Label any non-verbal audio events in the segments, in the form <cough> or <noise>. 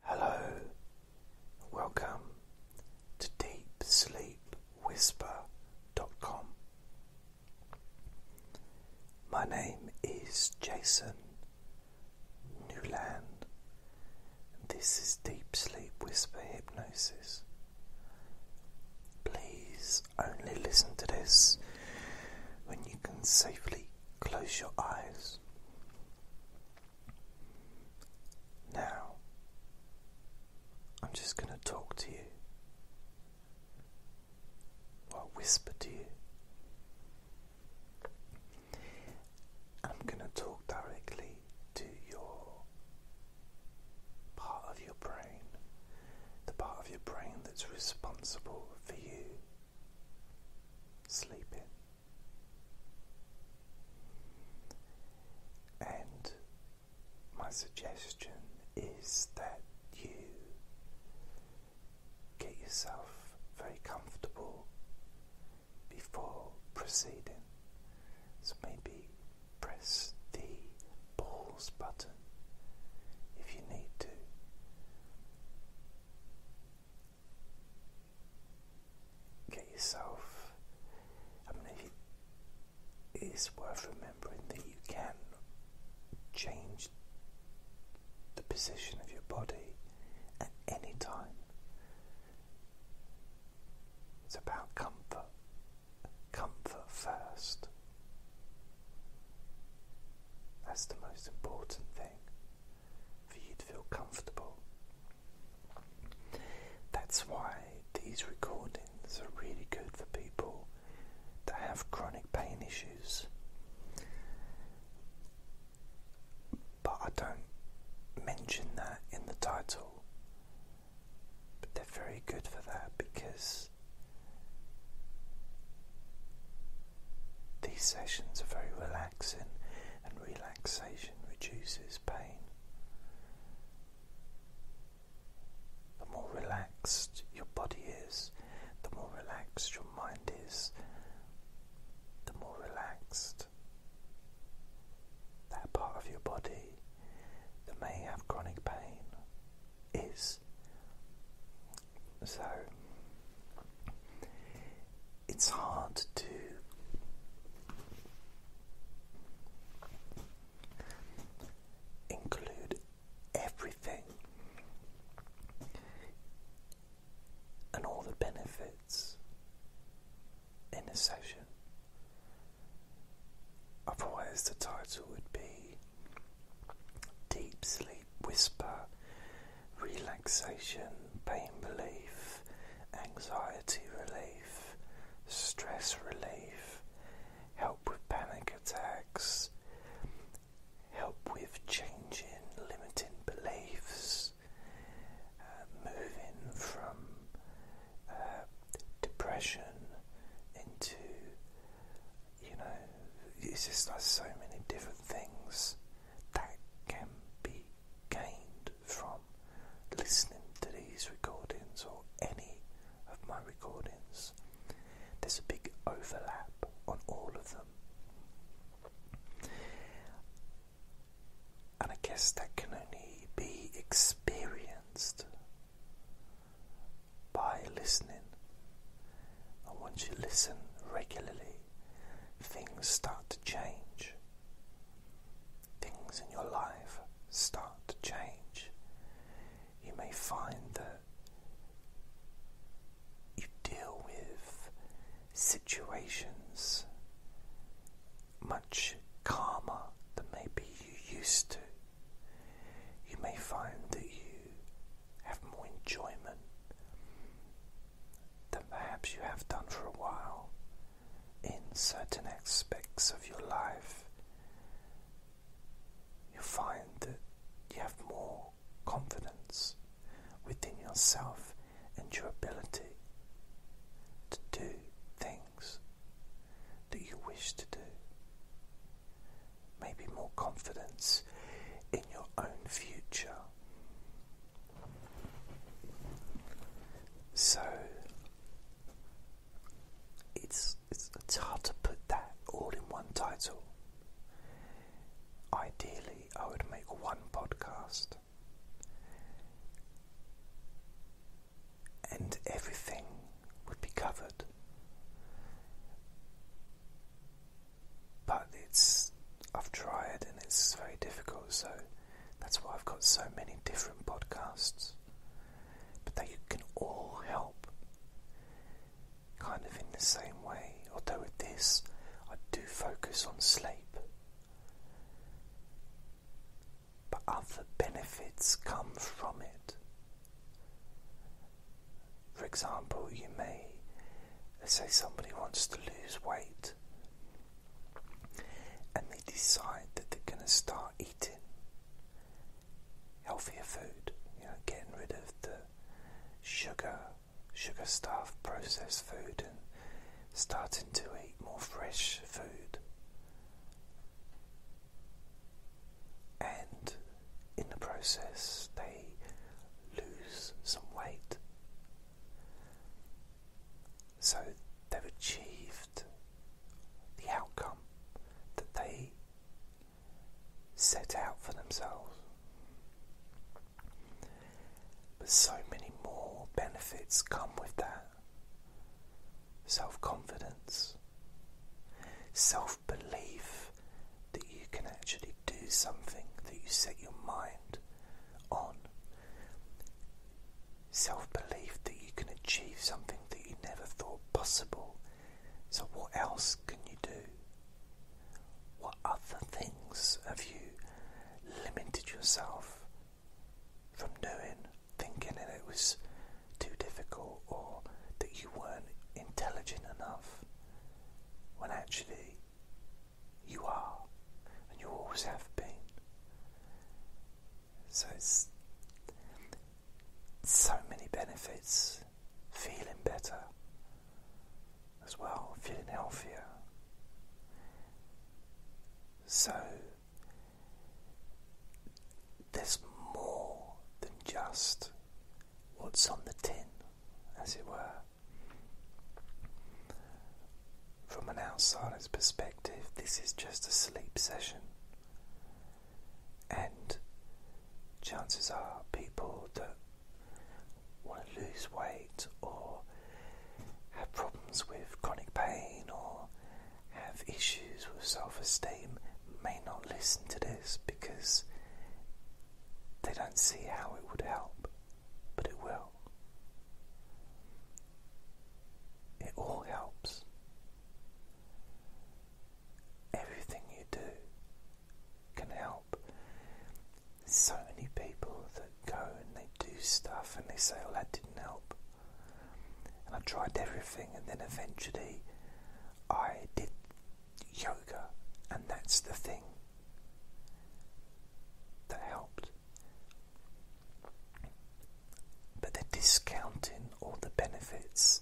Hello, welcome to Deep Sleep Whisper. dot com. My name is Jason Newland. This is Deep Sleep Whisper Hypnosis. Please only listen to this when you can safely close your eyes. Now, I'm just going to talk to you, I'll whisper to you. I'm going to talk directly to your part of your brain, the part of your brain that's responsible for you sleeping. And my suggestion is that you get yourself very comfortable before proceeding. So maybe press the pause button if you need to. Get yourself. I mean, it's worth remembering that you can change the position of your body at any time. It's about comfort. Comfort first. That's the most important thing for you to feel comfortable. That's why these recordings are really good for people that have chronic pain issues. But I don't mention that in the title. But they're very good for that because these sessions are very relaxing and relaxing relaxation reduces pain. The more relaxed your body is, the more relaxed your mind is, the more relaxed that part of your body that may have chronic pain is. So, it's hard to include everything and all the benefits in a session. Otherwise, the title would be Deep Sleep Whisper, Relaxation, Pain Relief anxiety relief, stress relief, help with panic attacks, help with changing limiting beliefs, uh, moving from uh, depression into, you know, it's just like so many different things that can be gained from listening to these recordings or any of my recordings. There's a big overlap on all of them. And I guess that can only be experienced by listening. And once you listen regularly, things start to change. Things in your life start to change. You may find that you deal with situations much calmer than maybe you used to. You may find that you have more enjoyment than perhaps you have done for a while in certain aspects of your life. You find that you have more confidence within yourself and your ability to do things that you wish to do. Maybe more confidence in your own future, so it's, it's it's hard to put that all in one title. Ideally, I would make one podcast, and everything would be covered. But it's I've tried and it's very difficult, so that's why I've got so many different podcasts. But they can all help, kind of in the same way. Although with this, I do focus on sleep. But other benefits come from it. For example, you may, say somebody wants to lose weight and they decide that they're going to start eating healthier food, you know, getting rid of the sugar, sugar stuffed processed food, and starting to eat more fresh food. And in the process, they lose some weight. So they've achieved the outcome that they set out for themselves. But so many more benefits come with that self confidence, self belief that you can actually do something that you set your mind on Self belief that you can achieve something that you never thought possible. So, what else can you do? What other things have you limited yourself from doing, thinking that it was too difficult or that you weren't intelligent enough? When actually, you are, and you always have been. So it's so many benefits. Feeling better as well, feeling healthier. So there's more than just what's on the tin, as it were. From an outsider's perspective, this is just a sleep session. And chances are, people that want to lose weight or have problems with chronic pain or have issues with self esteem may not listen to this because they don't see how it would help, but it will. It all helps. Everything you do can help. so many people that go and they do stuff and they say, Oh, that didn't help. And I tried everything, and then eventually I did yoga, and that's the thing that helped. But they're discounting all the benefits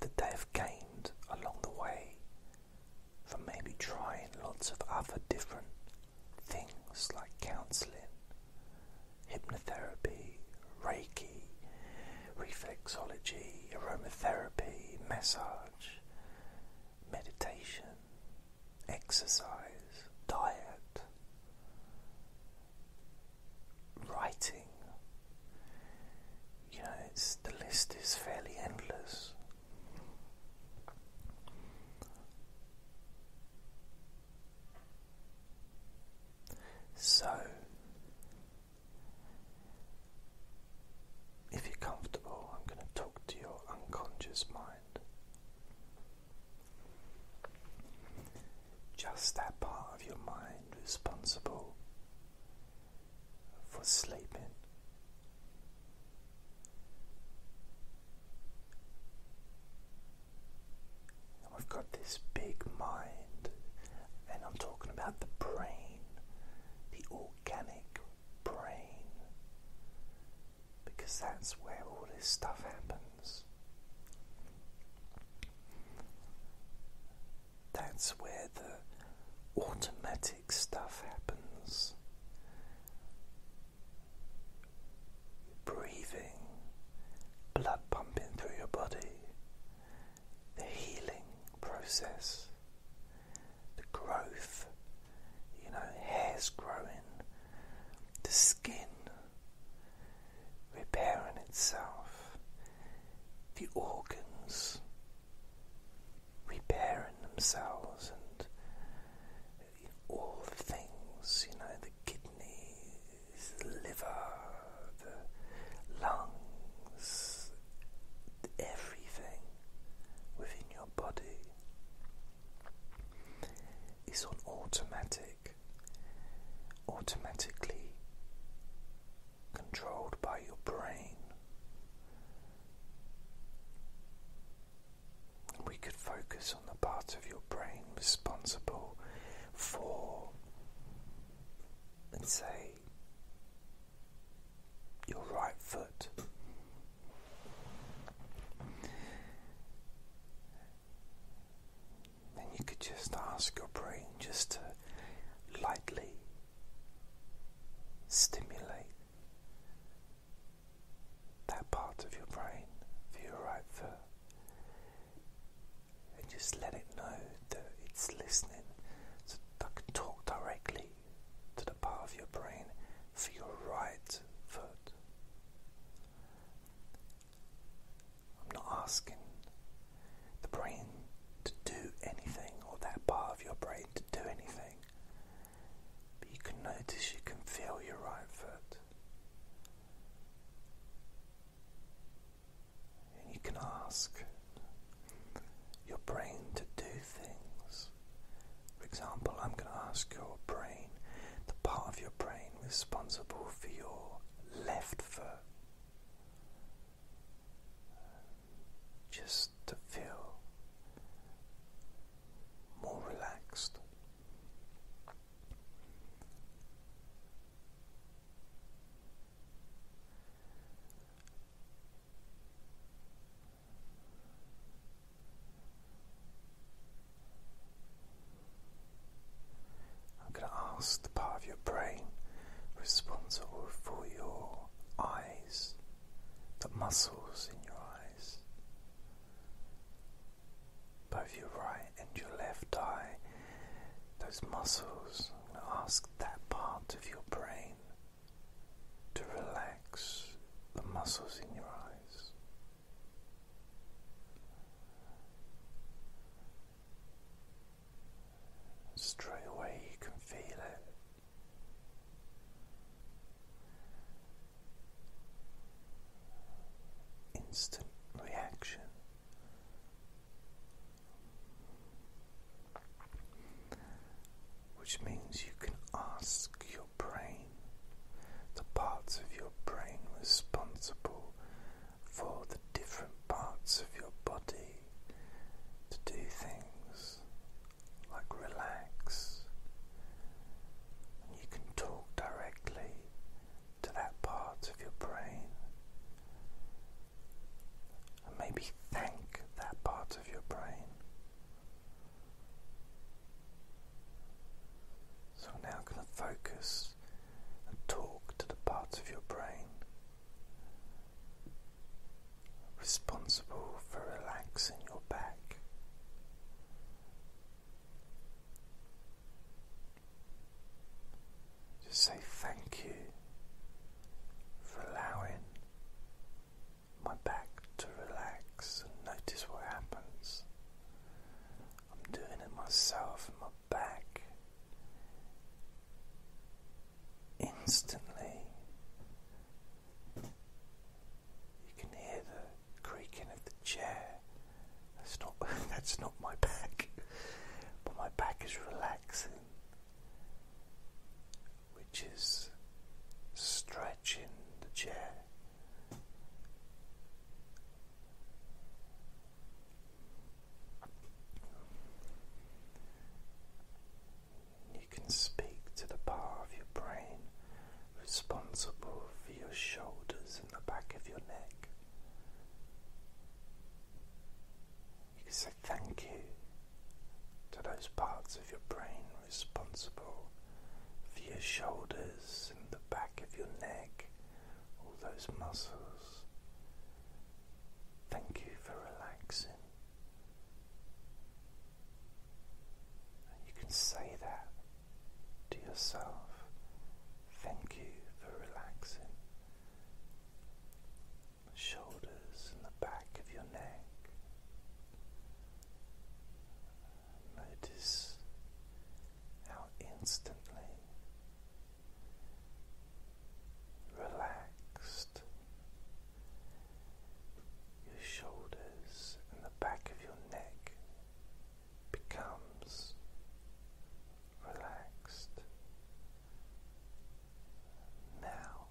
that they have gained along the way from maybe trying lots of other different things like counseling, hypnotherapy, reiki, reflexology, aromatherapy, massage, meditation, exercise, diet, writing. You it's, the list is fairly endless. So, if you're comfortable, I'm going to talk to your unconscious mind. Just that part of your mind responsible for sleeping. we've got this big mind, and I'm talking about the brain, the organic brain because that's where all this stuff happens. That's where the automatic stuff happens. Breathing, blood pumping through your body, the healing process, the growth, you know, hair's growing, the skin repairing itself, the organs repairing themselves, and all the things, you know, the kidneys, the liver, the lungs, everything within your body is on automatic automatically controlled by your brain. We could focus on the part of your brain responsible for, and say, your right foot then you could just ask your brain just to lightly stimulate that part of your brain for your right foot and just let it know that it's listening. So that I can talk directly to the part of your brain for your right foot. I'm not asking the brain to do anything or that part of your brain to do anything. But you can notice you can feel your right foot. And you can ask your brain to do things. For example, I'm going to ask your brain, the part of your brain responsible for your left foot. Just to feel more relaxed. I'm going to ask the part of your brain responsible for your eyes, the muscles in your eyes, both your right and your left eye, those muscles. I'm going to ask that part of your brain to relax the muscles in your eyes. Straight away, you can feel it. Instant reaction. Which means you can ask your brain, the parts of your brain responsible for the different parts of your body to do things like relax. And you can talk directly to that part of your brain. And maybe thank that part of your brain. So I'm now going to focus and talk to the parts of your brain responsible for relaxing your back. Just say thank you for allowing my back to relax and notice what happens. I'm doing it myself back instantly. You can hear the creaking of the chair. That's not <laughs> that's not my back. But my back is relaxing. Which is stretching the chair. You can speak to the part of your brain responsible for your shoulders and the back of your neck. You can say thank you to those parts of your brain responsible for your shoulders and the back of your neck all those muscles. Thank you for relaxing. you can say that to yourself. Thank you for relaxing. shoulders and the back of your neck. Notice how instantly relaxed, your shoulders and the back of your neck becomes relaxed. Now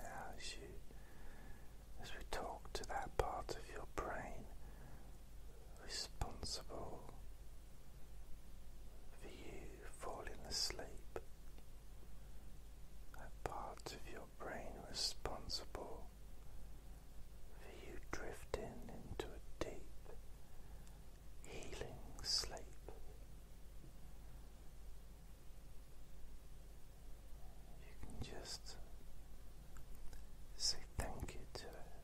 as you, as we talk to that part of your brain responsible for you falling asleep, that part of your brain responsible for you drifting into a deep, healing sleep. You can just say thank you to it.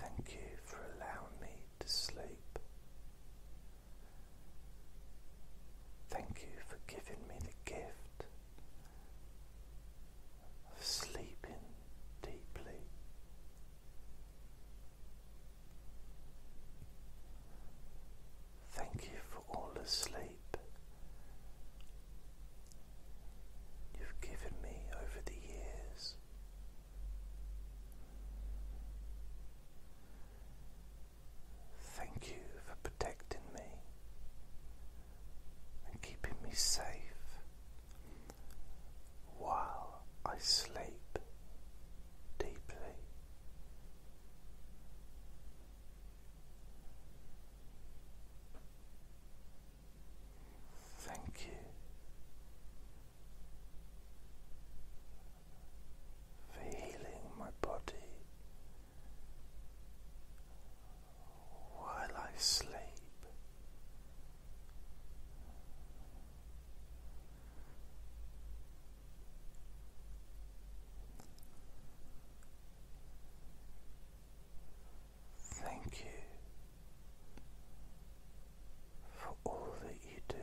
Thank you for allowing me to sleep. Thank you for giving me the gift sleeping deeply. Thank you for all the sleep you've given me over the years. Thank you for protecting me and keeping me safe while I sleep deeply. Thank you for healing my body while I sleep. Thank you for all that you do.